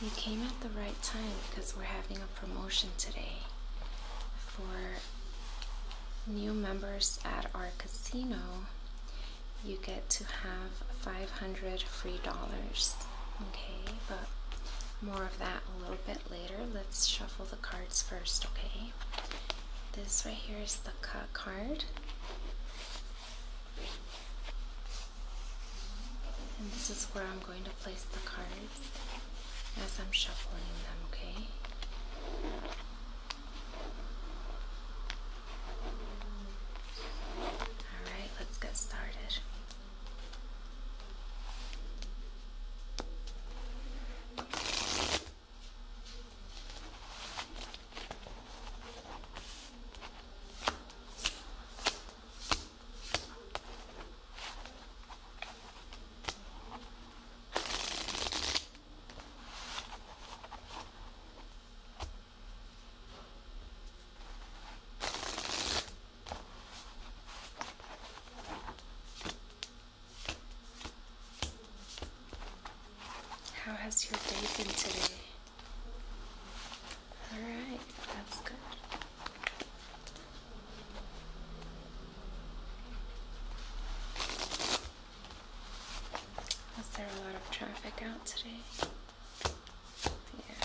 You came at the right time because we're having a promotion today for new members at our casino. You get to have 500 free dollars. Okay, but more of that a little bit later. Let's shuffle the cards first, okay? This right here is the cut card. And this is where I'm going to place the cards as I'm shuffling them, okay? Alright, let's get started. How has your day been today? All right, that's good. Was there a lot of traffic out today? Yeah.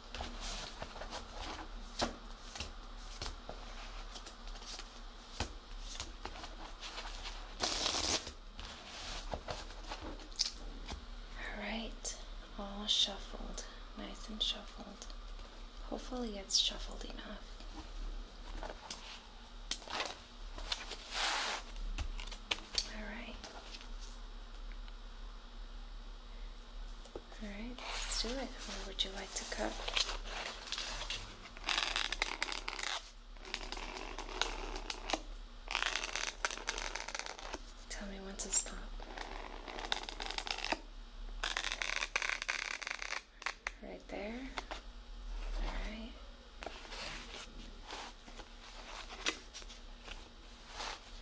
All right, all shuffled, nice and shuffled. Hopefully, it's shuffled enough. All right. Alright, let's do it. Where would you like to cut? Tell me when to stop. Right there. Alright.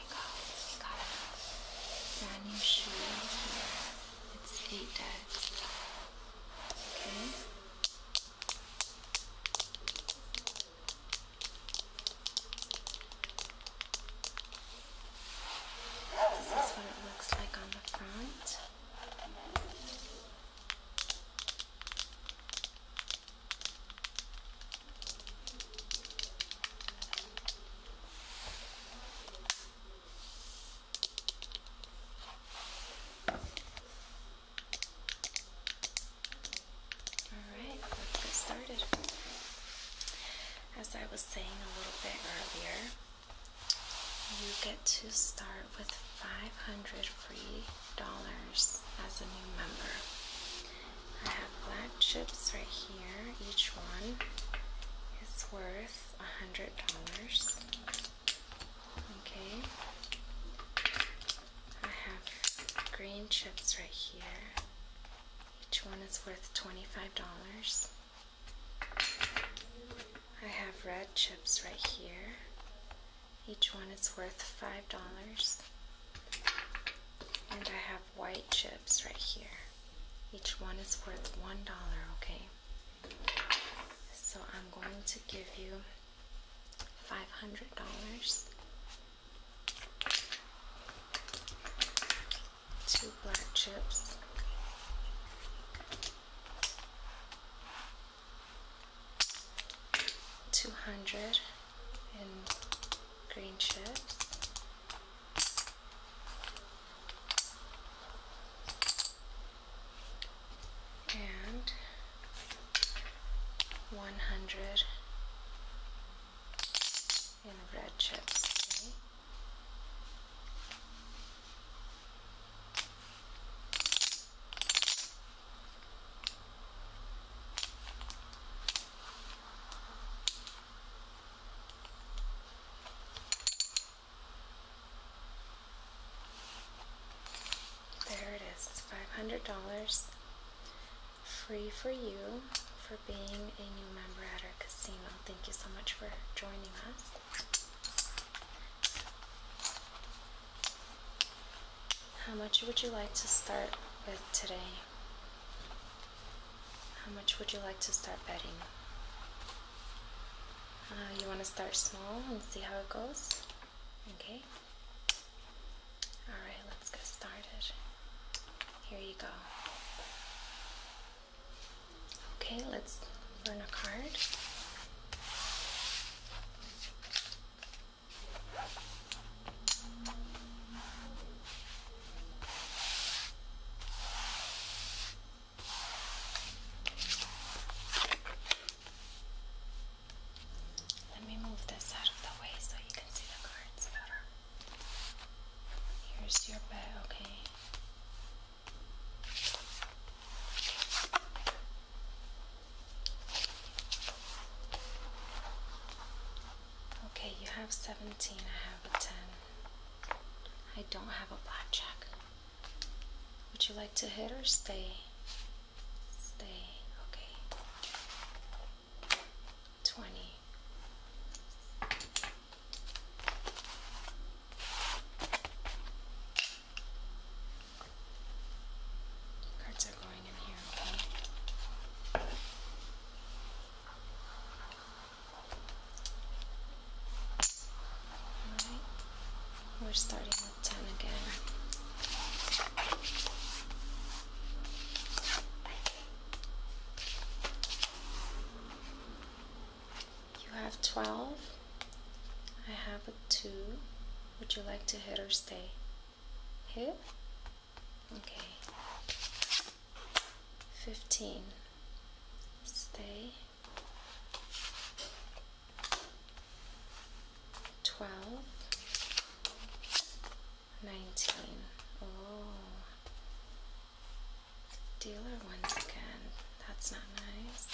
we got a brand new shoe here. It's eight decks. Okay. This is what it looks like on the front. Alright, let's get started. As I was saying a little bit earlier, you get to start with 500 free dollars as a new member. Um, black chips right here. Each one is worth a hundred dollars. Okay. I have green chips right here. Each one is worth $25. I have red chips right here. Each one is worth $5. And I have white chips right here. Each one is worth one dollar, okay? So I'm going to give you five hundred dollars, two black chips. Two hundred in green chips, and 100 in red chips. There it is. It's $500 free for you for being a new member at our casino. Thank you so much for joining us. How much would you like to start with today? How much would you like to start betting? Uh, you want to start small and see how it goes? Okay. Alright, let's get started. Here you go. Okay, let's burn a card. Let me move this out of the way so you can see the cards better. Here's your bet, okay. Okay, you have 17, I have a 10. I don't have a blackjack. Would you like to hit or stay? Stay, okay. 20. Cards are going in here, okay? Alright, we're starting with 10 again. You have 12. I have a 2. Would you like to hit or stay? Hit? Okay. 15 stay. 12 19 oh dealer once again that's not nice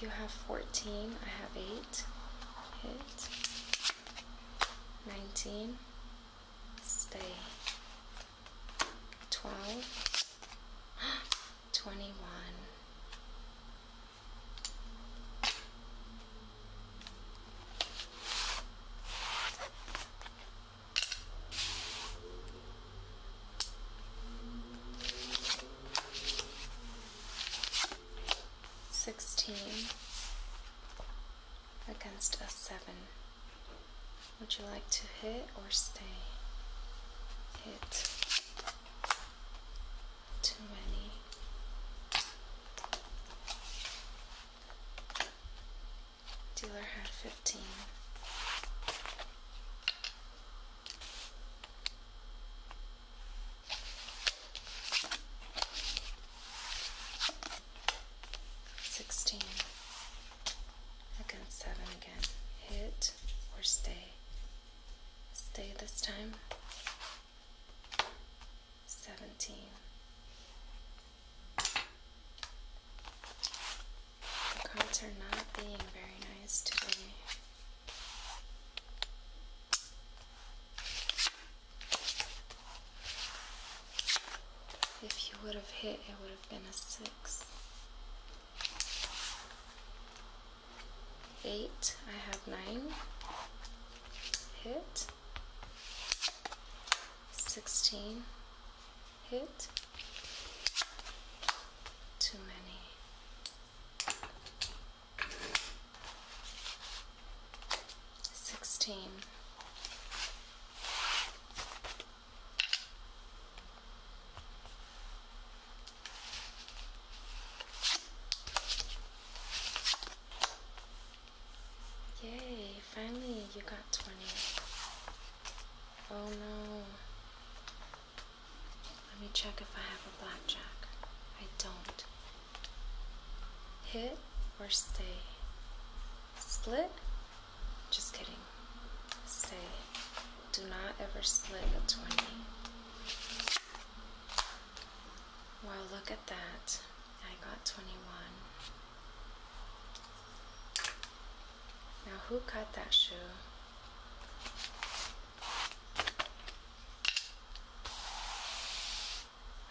you have 14, I have 8, hit, 19, stay, 12, 21, Sixteen against a seven. Would you like to hit or stay? Hit. Too many. Dealer had 15. Sixteen against seven again. Hit or stay. Stay this time. Seventeen. The cards are not being very nice today. If you would have hit, it would have been a six. Eight, I have nine. Hit. 16 hit too many sixteen Yay, finally you got 20. Oh no. Let me check if I have a blackjack. I don't. Hit or stay? Split? Just kidding. Stay. Do not ever split a 20. Well, look at that. I got 21. Now, who cut that shoe?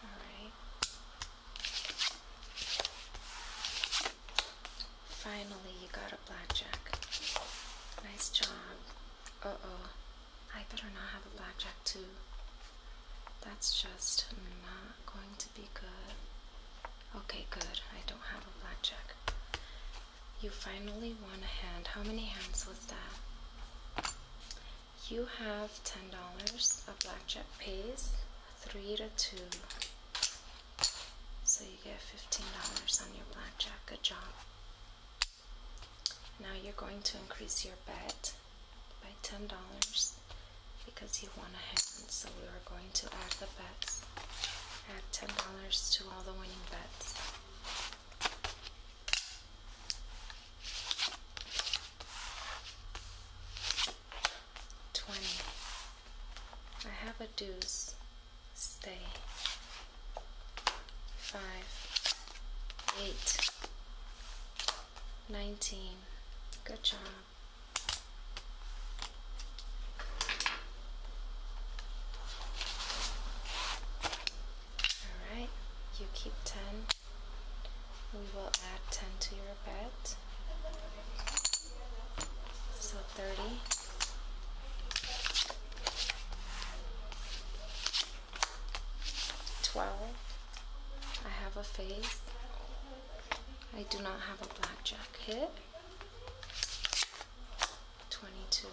All right. Finally, you got a blackjack. Nice job. Uh oh. I better not have a blackjack, too. That's just not going to be good. Okay, good. I don't have a blackjack. You finally won a hand. How many hands was that? You have $10. A blackjack pays 3 to 2. So you get $15 on your blackjack. Good job. Now you're going to increase your bet by $10 because he won a hand. So we are going to add the bets, add $10 to all the winning bets. Twenty. I have a deuce. Stay. Five. Eight. 19. Good job. Alright, you keep 10. We will add 10 to your bet. So 30. Twelve. I have a face. I do not have a blackjack hit. 22.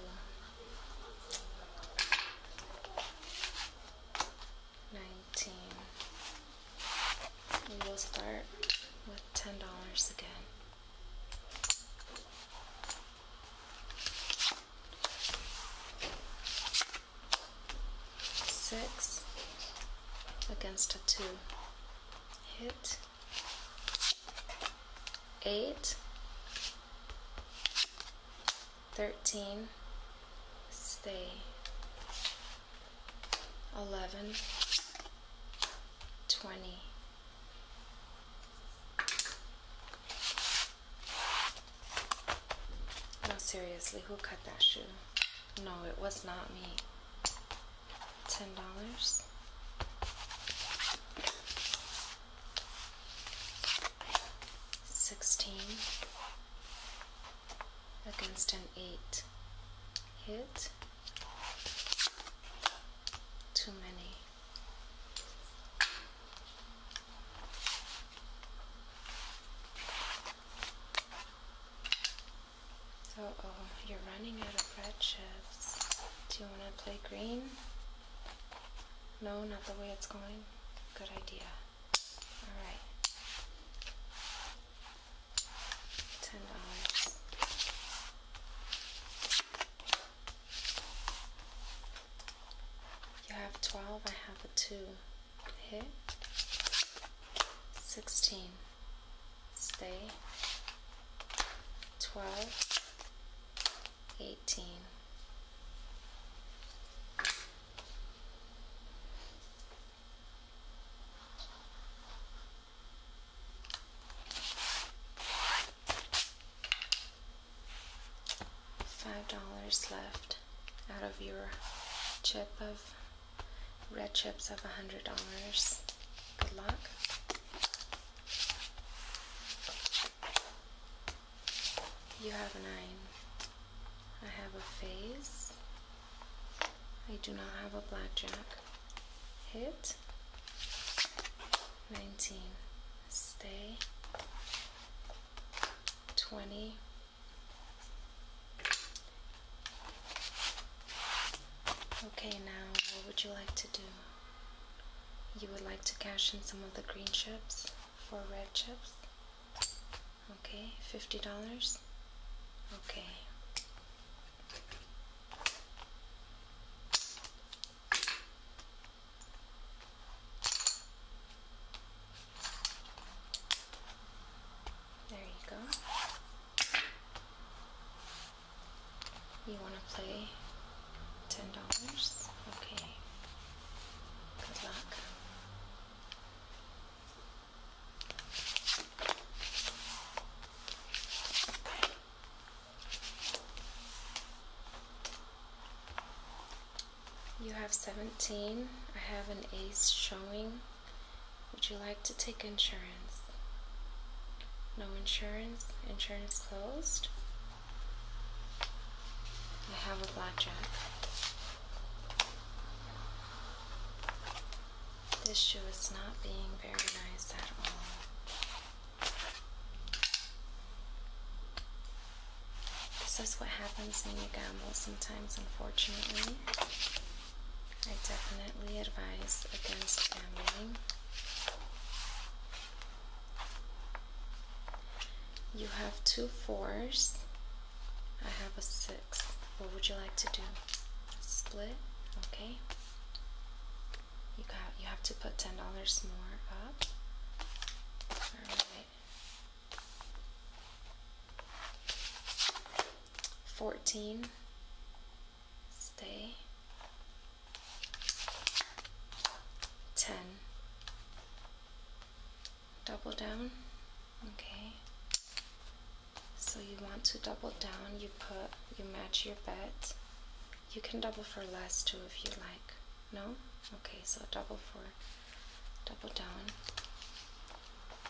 Nineteen. We will start with ten dollars again six against a two hit eight 13 stay 11 20 no seriously who cut that shoe no, it was not me. Ten dollars. Sixteen against an eight hit. Too many. Uh oh, you're running out of red chips. Do you want to play green? No, not the way it's going. Good idea. Alright. Ten dollars. You have twelve, I have a two hit 16 stay 12 18 five dollars left out of your chip of Red chips of $100. Good luck. You have a nine. I have a face. I do not have a blackjack. Hit. 19. Stay. 20. Okay, now what would you like to do? You would like to cash in some of the green chips for red chips? Okay, $50? Okay. There you go. You want to play ten dollars? Okay. Good luck. You have seventeen. I have an ace showing. Would you like to take insurance? No insurance? Insurance closed? I have a blackjack. This shoe is not being very nice at all. This is what happens when you got sometimes, unfortunately. I definitely advise against gambling. You have two fours. I have a six. What would you like to do? Split? Okay. You have to put ten dollars more up. 14 stay 10 double down okay so you want to double down you put you match your bet you can double for less too if you like no okay so double for double down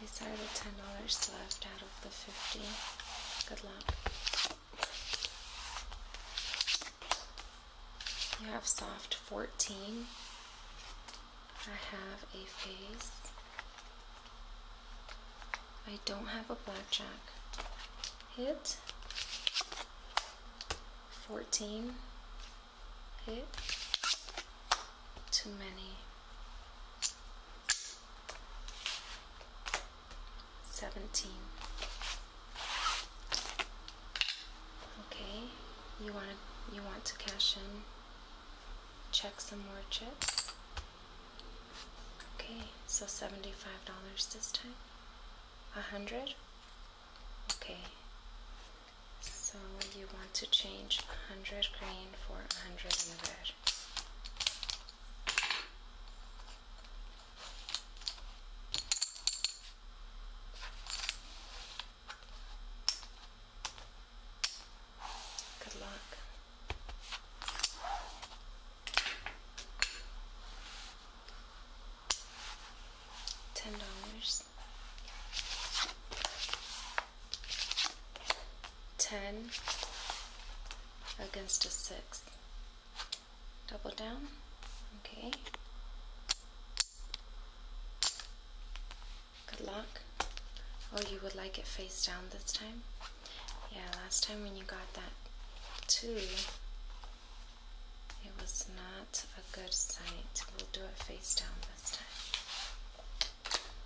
These are the ten dollars left out of the fifty. Good luck. You have soft 14. I have a face. I don't have a blackjack. Hit. 14. Hit too many. 17. Okay, you want to you want to cash in. Check some more chips. Okay, so seventy-five dollars this time. A hundred. Okay. So you want to change 100 green for 100 red. Good luck. Ten dollars. 10 against a 6 double down okay good luck oh you would like it face down this time yeah last time when you got that 2 it was not a good sight we'll do it face down this time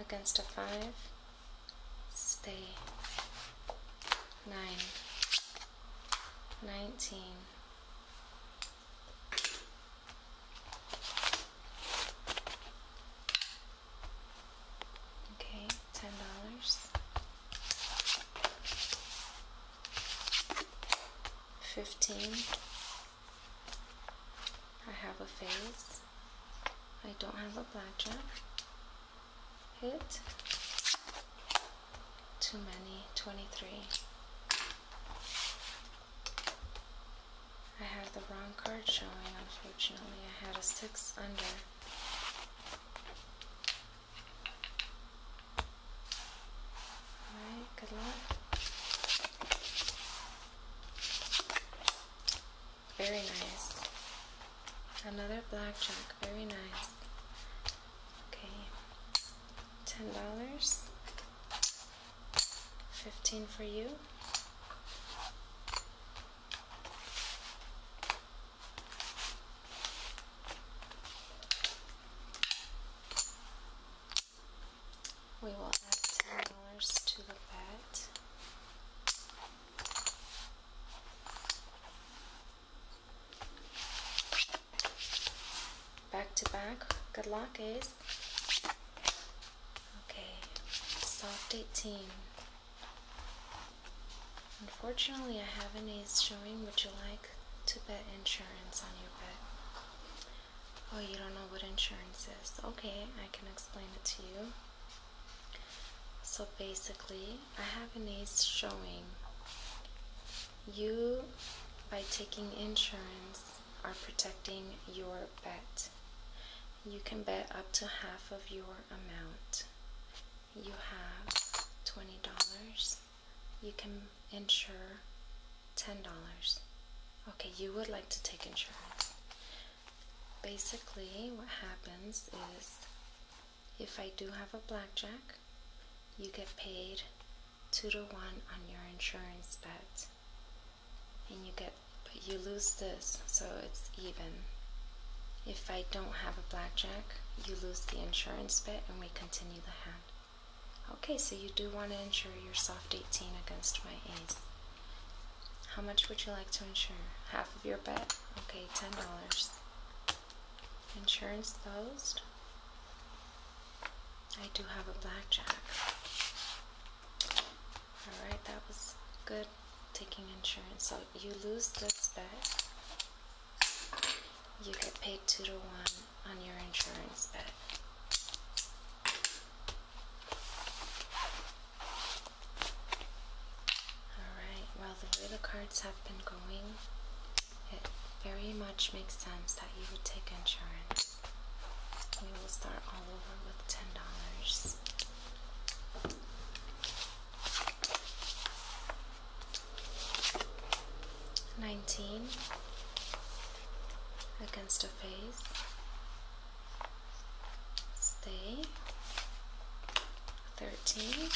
against a five, stay. Nine, nineteen, okay, ten dollars, fifteen. I have a face. I don't have a blackjack. Hit. Too many. 23. I have the wrong card showing, unfortunately. I had a 6 under. Alright, good luck. Very nice. Another blackjack. Very nice. Okay. Ten dollars. Fifteen for you we will add $10 to the bet. Back to back. Good luck, Ace. Okay, soft 18. Unfortunately, I have an ace showing. Would you like to bet insurance on your bet? Oh, you don't know what insurance is. Okay, I can explain it to you. So basically, I have an ACE showing. You, by taking insurance, are protecting your bet. You can bet up to half of your amount. You have $20. You can insure $10. Okay, you would like to take insurance basically what happens is if I do have a blackjack, you get paid 2 to 1 on your insurance bet. And you get, but you lose this, so it's even. If I don't have a blackjack, you lose the insurance bet and we continue the hand. Okay, so you do want to insure your soft 18 against my ace. How much would you like to insure? Half of your bet? Okay, $10. Insurance closed. I do have a blackjack. Alright, that was good taking insurance. So you lose this bet. You get paid 2 to 1 on your insurance bet. Alright, well, the way the cards have been going, it very much makes sense that you would take insurance. We will start all over with $10. Nineteen against a face, stay 13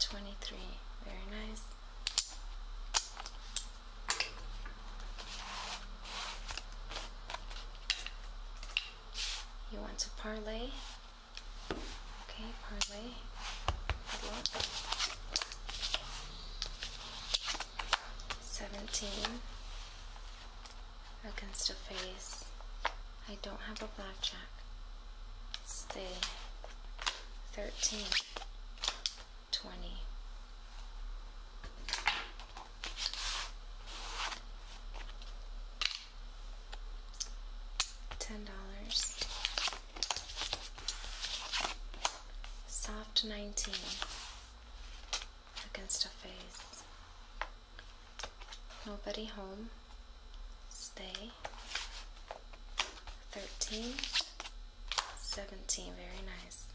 23 very nice you want to parlay okay parlay 17 against a face. I don't have a blackjack. It's the 13, 20. Ten dollars. Soft nineteen against her face. Nobody home. Stay. 13, 17, very nice.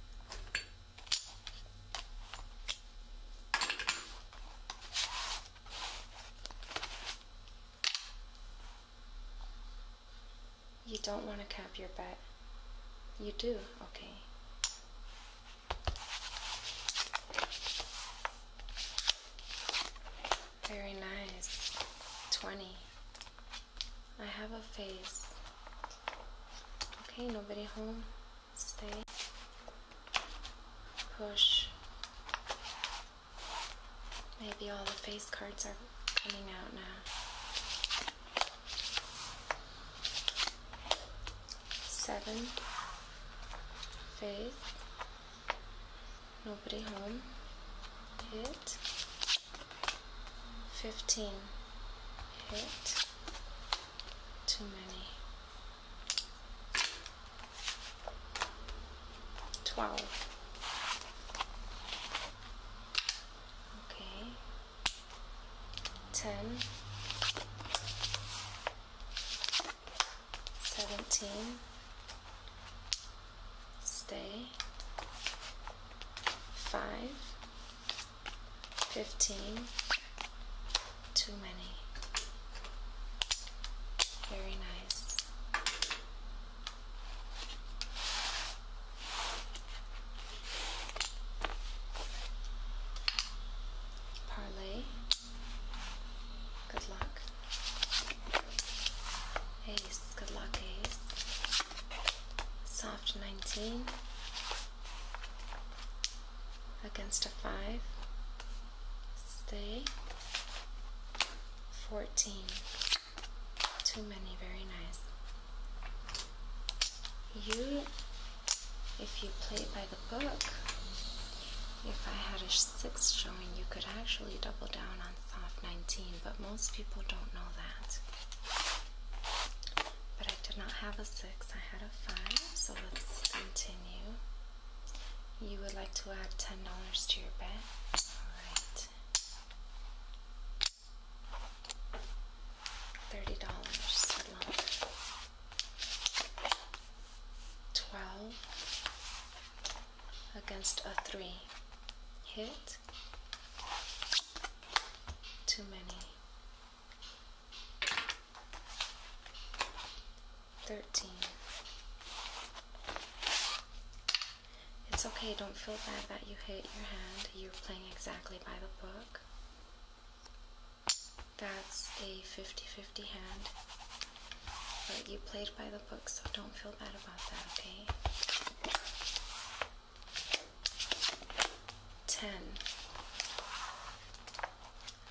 You don't want to cap your bet. You do, okay. Very nice. 20. I have a face. Okay, nobody home. Stay. Push. Maybe all the face cards are coming out now seven face nobody home hit 15 hit too many 12 okay 10, 17, stay, 5, 15, too many. Very nice. Parlay. Good luck. Ace. Good luck, Ace. Soft 19. Against a 5. Stay. 14. Too many. Very nice you, if you play by the book, if I had a 6 showing, you could actually double down on soft 19, but most people don't know that. But I did not have a 6, I had a 5, so let's continue. You would like to add $10 to your bet? Alright. $30 12 against a 3 hit. Too many. 13. It's okay, don't feel bad that you hit your hand. You're playing exactly by the book. That's a 50-50 hand. But you played by the book, so don't feel bad about that, okay? 10.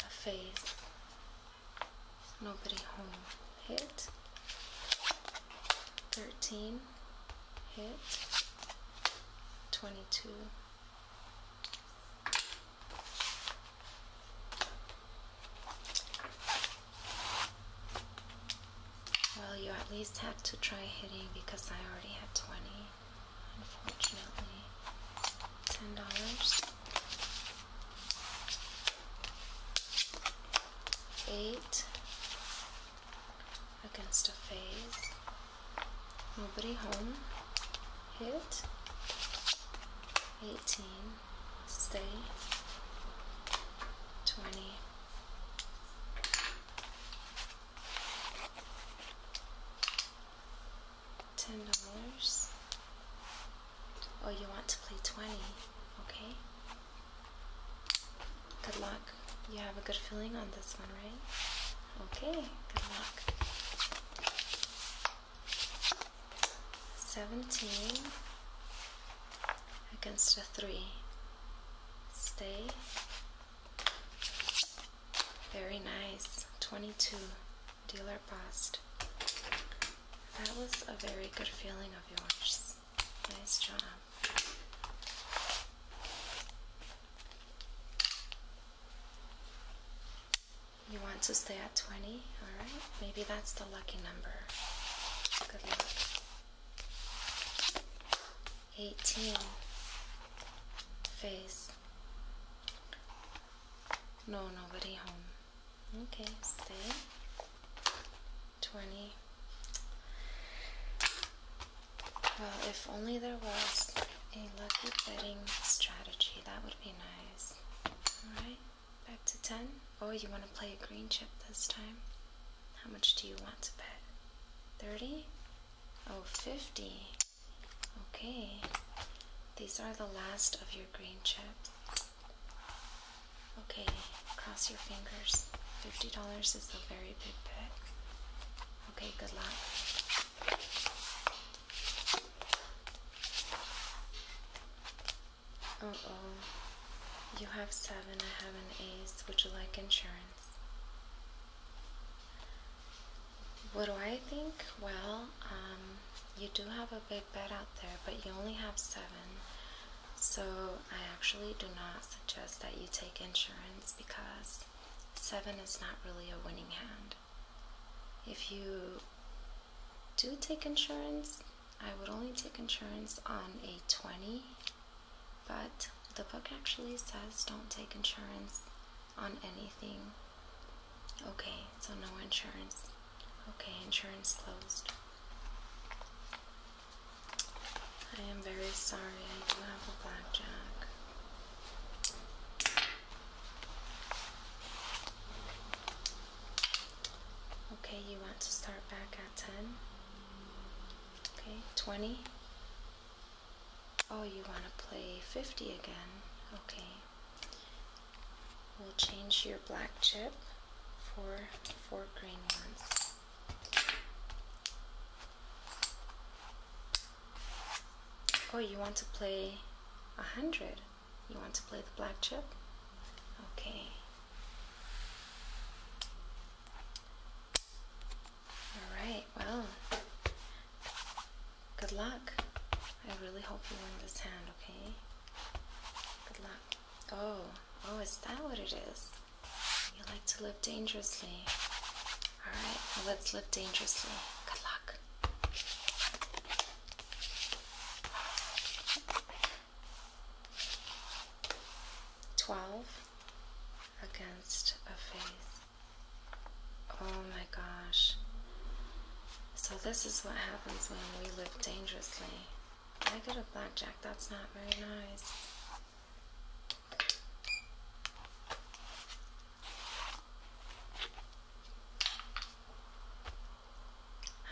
A face. Nobody home. Hit. 13. Hit. 22. Well, you at least had to try hitting because I already had 20, unfortunately. $10. Eight against a phase. Nobody home. Hit. 18. Stay. 20. Ten dollars. Oh, you want to play 20, okay? Good luck. You have a good feeling on this one right? Okay, good luck. 17 against a 3. Stay. Very nice. 22. Dealer passed. That was a very good feeling of yours. Nice job. You want to stay at 20? Alright, maybe that's the lucky number. Good luck. 18. Face. No, nobody home. Okay, stay. 20. Well, if only there was a lucky betting strategy, that would be nice. Alright, back to 10. Oh, you want to play a green chip this time? How much do you want to bet? 30? Oh, 50. Okay. These are the last of your green chips. Okay, cross your fingers. $50 is a very big bet. Okay, good luck. Uh oh. You have seven, I have an ace. Would you like insurance? What do I think? Well, um, you do have a big bet out there, but you only have seven. So I actually do not suggest that you take insurance because seven is not really a winning hand. If you do take insurance, I would only take insurance on a 20, but the book actually says don't take insurance on anything. Okay, so no insurance. Okay, insurance closed. I am very sorry, I do have a blackjack. Okay, you want to start back at 10. Okay, 20. Oh, you want to play 50 again. Okay. We'll change your black chip for four green ones. Oh, you want to play a hundred? You want to play the black chip? Okay. Alright, well, good luck. I really hope you win this hand, okay? Good luck. Oh, oh, is that what it is? You like to live dangerously. Alright, let's live dangerously. Good luck. Twelve against a face. Oh my gosh. So, this is what happens when we live dangerously. I got a blackjack, that's not very nice.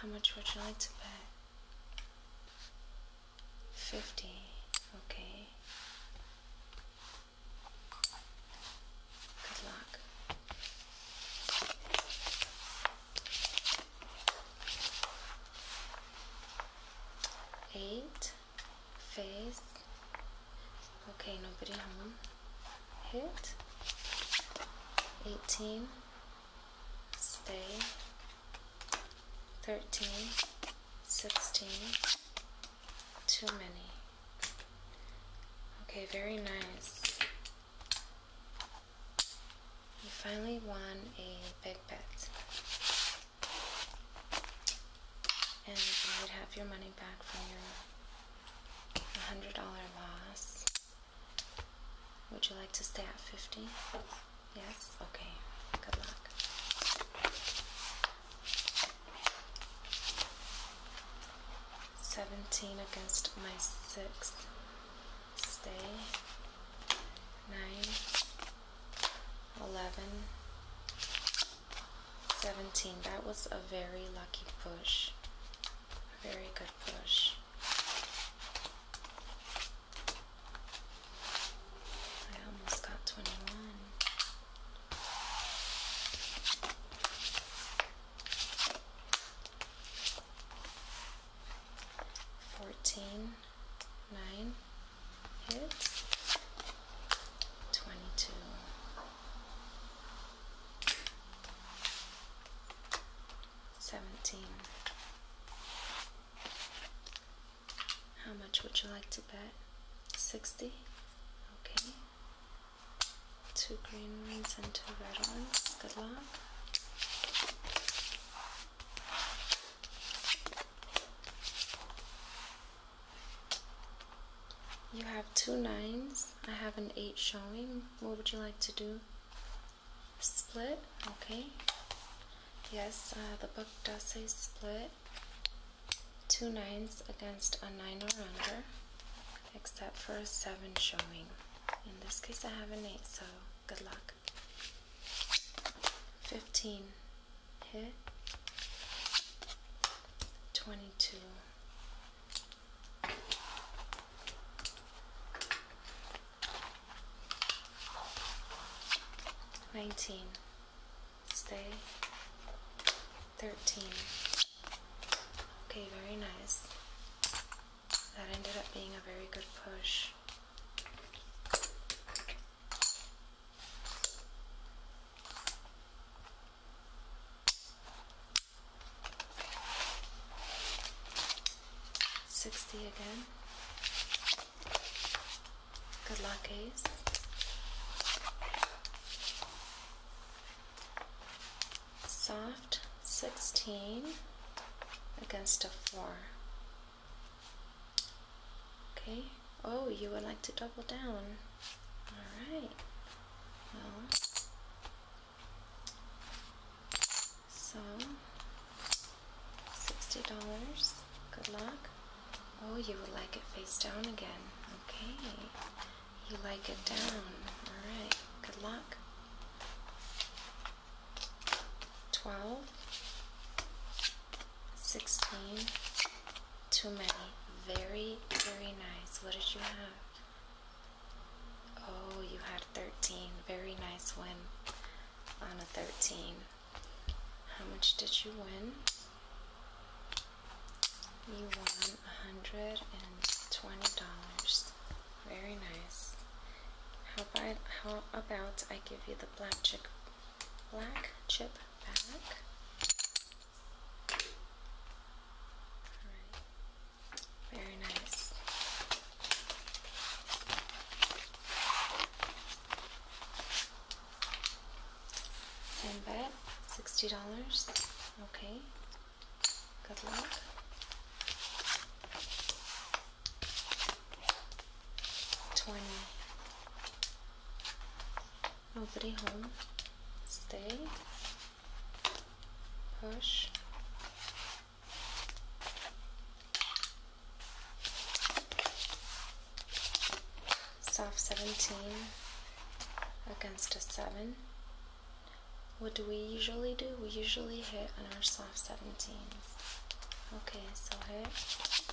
How much would you like to bet? 50, okay. Good luck. Eight. Phase. okay nobody home hit 18 stay 13 16 too many okay very nice you finally won a big bet and you would have your money back from your $100 loss. Would you like to stay at 50? Yes? Okay. Good luck. Seventeen against my six. Stay. Nine. Eleven. 17. That was a very lucky push. very good push. I almost got 21. Fourteen, nine hits. 22 17 How much would you like to bet? 60 Okay Two green ones and two red ones. Good luck. You have two nines. I have an eight showing. What would you like to do? Split? Okay. Yes, uh, the book does say split. Two nines against a nine or under, except for a seven showing. In this case, I have an eight, so good luck. 15 here 22 19 stay 13 okay very nice that ended up being a very good push Sixty again. Good luck, Ace. Soft sixteen against a four. Okay, Oh, you would like to double down. Alright. Well. So. $60. Good luck. Oh, you would like it face down again. Okay. You like it down. Alright. Good luck. 12 16. Too many. Very, very nice. What did you have? Oh, you had 13. Very nice win on a 13. How much did you win? You won $120. Very nice. How about, how about I give you the black chip, black chip back? Very nice. Same bet, sixty dollars. Okay. Good luck. Twenty. Nobody home. Stay. Push. Soft 17 against a 7. What do we usually do? We usually hit on our soft 17s. Okay, so hit.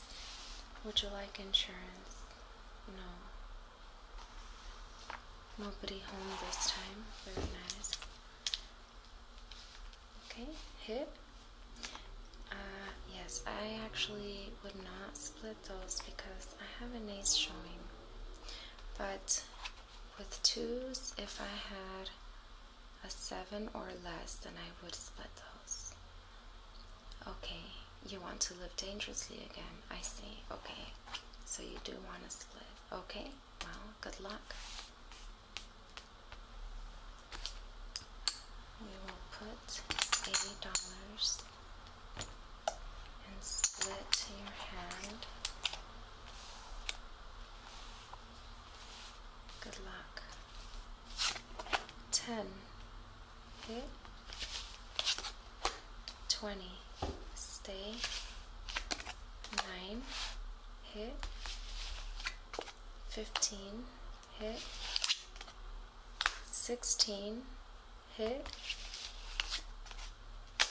Would you like insurance? No. Nobody home this time. Very nice. Okay, hip. Uh, yes, I actually would not split those because I have an ace showing. But with twos, if I had a 7 or less, then I would split those. Okay, you want to live dangerously again. I see. Okay, so you do want to split. Okay, well, good luck. We will put $80 and split your hand. Good luck. 10 okay 20 stay 9 hit 15 hit 16 hit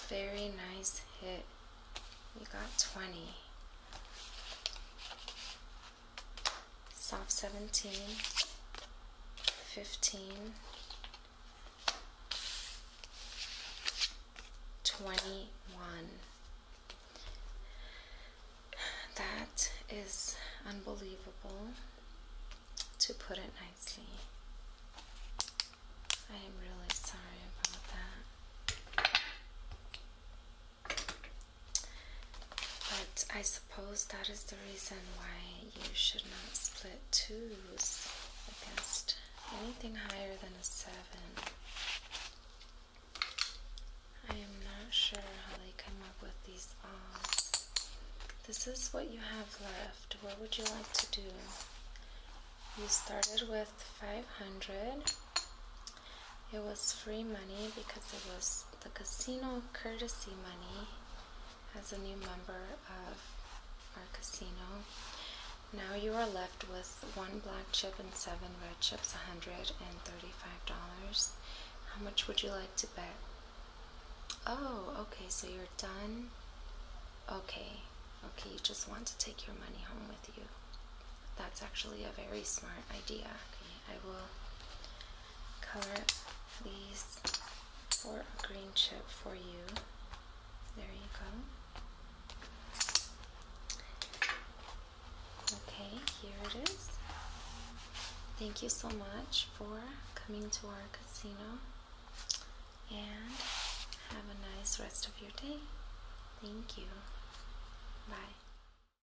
very nice hit you got 20 soft 17, 15, 21. That is unbelievable, to put it nicely. I am really sorry about that. But I suppose that is the reason why you should not split twos against anything higher than a seven. I am not sure how they come up with these odds. This is what you have left. What would you like to do? You started with 500. It was free money because it was the casino courtesy money as a new member of our casino. Now you are left with one black chip and seven red chips, $135. How much would you like to bet? Oh, okay, so you're done? Okay, okay, you just want to take your money home with you. That's actually a very smart idea. I will cover these for a green chip for you. There you go. Okay, here it is. Thank you so much for coming to our casino and have a nice rest of your day. Thank you. Bye.